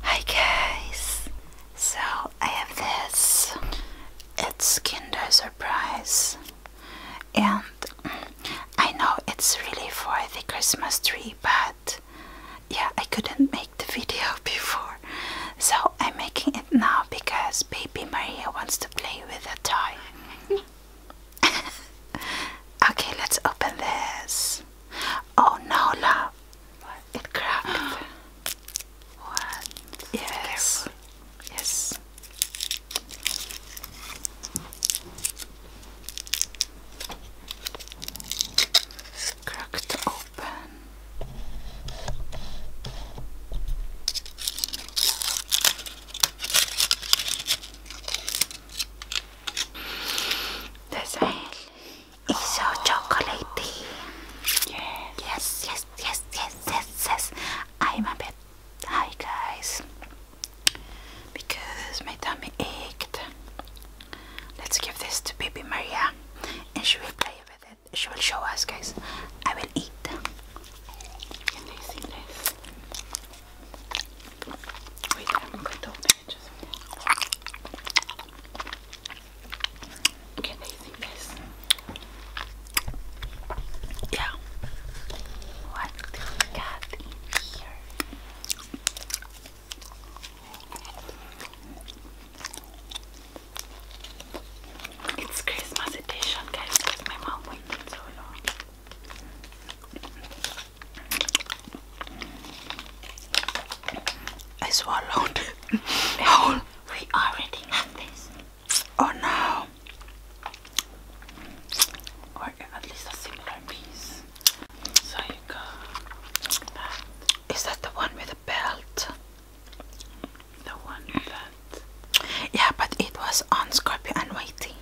Hi guys! So I have this. It's Kinder Surprise. And I know it's really for the Christmas tree, but yeah, I couldn't make the video before. So I'm making it now because baby Maria wants to play with the toy. okay, let's open this. Oh no, love. It cracked. Yes. Yes. Cracked open. Det är it's so chocolatey. Yeah. Yes, yes, yes, yes, yes, yes. I'm a bit high, guys, because my tummy ached. Let's give this to baby Maria, and she will play with it. She will show us, guys. I will eat. Can they see this? Wait, I'm going to open can they see this? What do we got in here? It's Christmas edition, guys, my mom waited so long. I swallowed whole. We already have this. Oh no. Or at least a similar piece. So you go like that the one with the belt? The one that. Yeah, but it was on Scorpio and Whitey.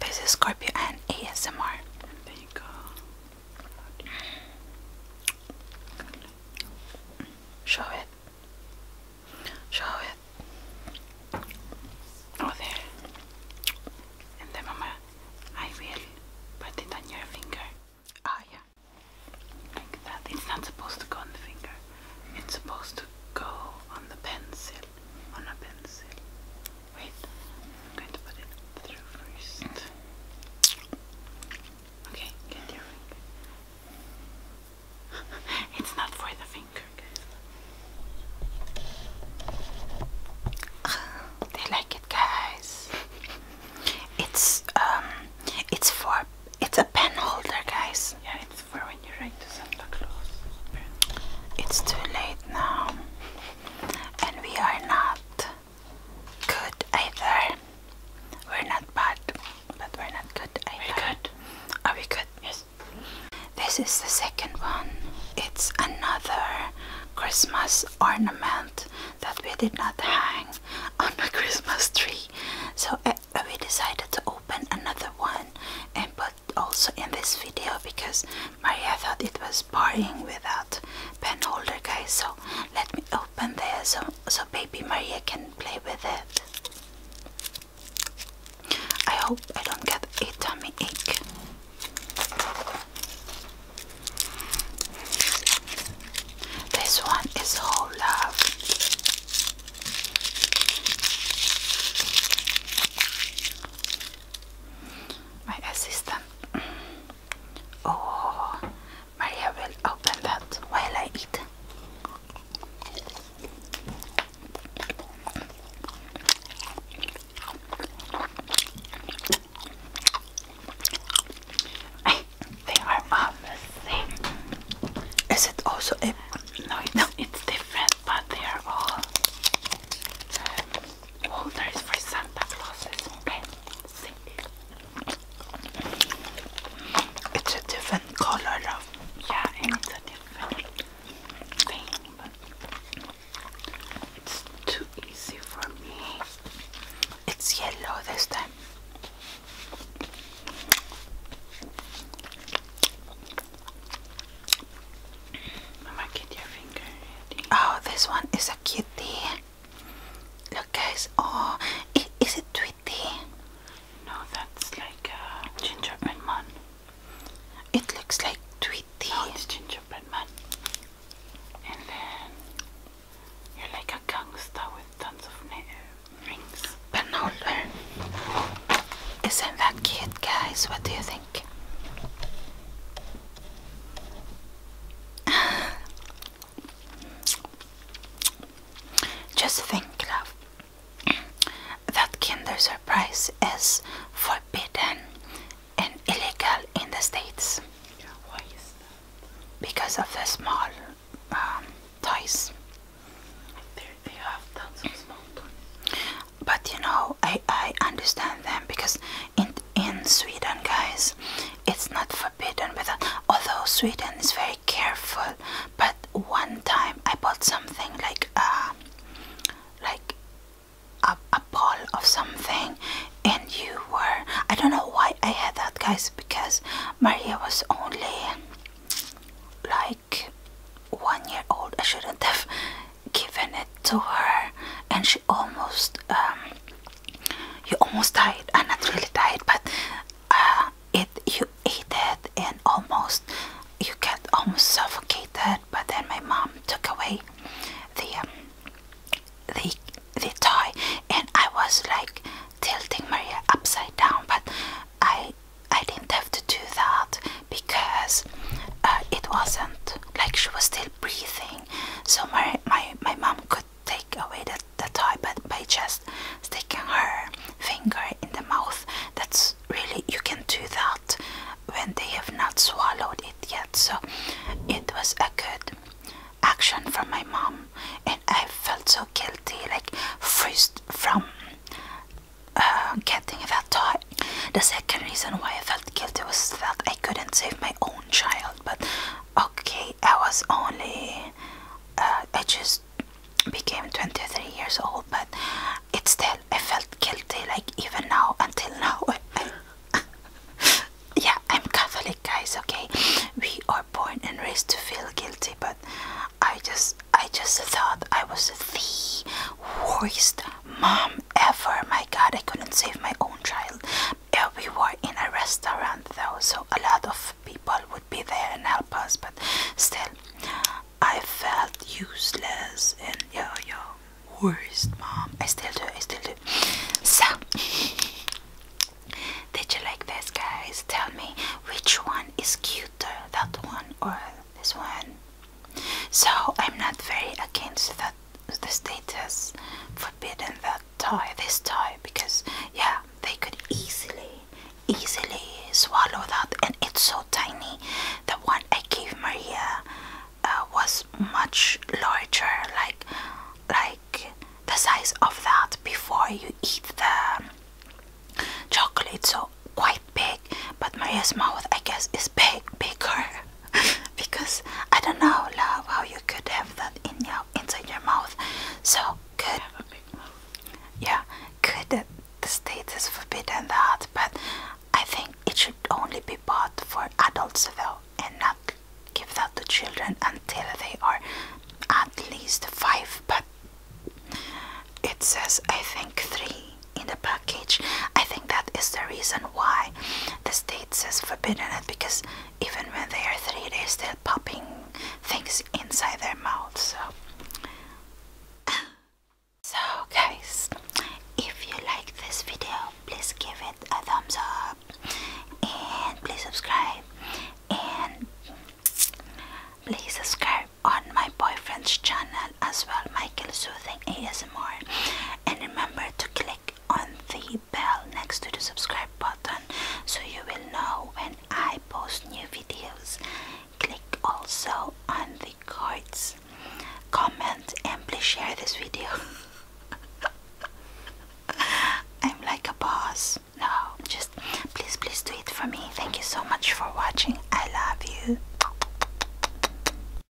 This is Scorpio and ASMR. There you go. Show it. Show it. Oh, And then, Mama, I will put it on your finger. oh, yeah. Like that. It's not supposed to go on the finger, it's supposed to go on the pencil. On a pencil. Wait, I'm going to put it through first. Okay, get your ring. it's not for the finger, guys. They like it, guys. It's um, it's for it's a pen holder, guys. Yeah, it's for when you write to Santa Claus. It's too late now, and we are not good either. We're not bad, but we're not good either. We're good. Are we good? Yes. This is the second one. It's another Christmas ornament that we did not hang on the Christmas tree. So uh, we decided to open another one and put also in this video because Maria thought it was boring without pen holder guys so let me open this so, so baby Maria can play with it. I hope I don't get a tummy ache. This one is whole love. My assistant Oh, Maria will open that while I eat. they are all the same. Is it also a no? it's different, but they are all holders oh, for Santa Clauses, okay? See? It's a different color of, yeah, and it's a different thing, but it's too easy for me. It's yellow this time. Oh, this one is a kitty. Look, guys. Oh, is, is it Tweety? No, that's like a uh, gingerbread man. It looks like Tweety. it's gingerbread man. And then you're like a gangster with tons of rings. But no, isn't that cute, guys? What do you think? Just think, love, that Kinder Surprise is forbidden and illegal in the States. Because of the small um, toys. they have tons of small toys. But you know, Oh, I, I understand them because in in Sweden guys it's not forbidden with although Sweden is very careful but one time I bought something like uh, like a, a ball of something and you were I don't know why I had that guys because Maria was only like one year old I shouldn't have given it to her and she almost um, you almost died I'm uh, not really died but uh, it you ate it and almost you get almost suffocated but then my mom took away the um, the the toy and I was like tilting Maria upside down but I I didn't have to do that because uh, it wasn't like she was still breathing so my my, my mom could take away the, the toy but by just sticking her finger in the mouth. That's really you can do that when they have not swallowed it yet. So it was a good action from my mom and I felt so guilty like freezed from uh, getting that toy the second reason why I felt guilty was that I couldn't save my own child, but okay, I was only uh, I just became 23 years old, but it still I felt guilty like even now until now. yeah, I'm Catholic, guys. Okay, we are born and raised to feel guilty, but I just I just thought I was the worst mom ever. My god, I couldn't save my own child. We were in a restaurant though, so a lot of people would be there and help us, but still, I felt useless and yo yo, worst mom. I still do, I still do. So, did you like this, guys? Tell me which one is cuter, that one or this one? So I'm not very against that the status forbidden that toy, this toy, because yeah, they could easily, easily swallow that, and it's so tiny. The one I gave Maria uh, was much larger, like, like the size of that before you eat the chocolate. So quite big, but Maria's mouth, I guess, is big, bigger. because I don't know, love, how you could have that in your inside your mouth. So could Yeah, could the state is forbidden that, but I think it should only be bought for adults though, and not give that to children until they are at least five. But it says I think three in the package. I think that is the reason why the states has forbidden it because even when they are three, days, they're popping things inside their mouth. So, so guys, if you like this video, please give it a thumbs up and please subscribe and please subscribe on my boyfriend's channel as well michael soothing asmr and remember to click on the bell next to the subscribe button so you will know when I post new videos. Click also on the cards, comment, and please share this video. I'm like a boss. No, just please, please do it for me. Thank you so much for watching. I love you.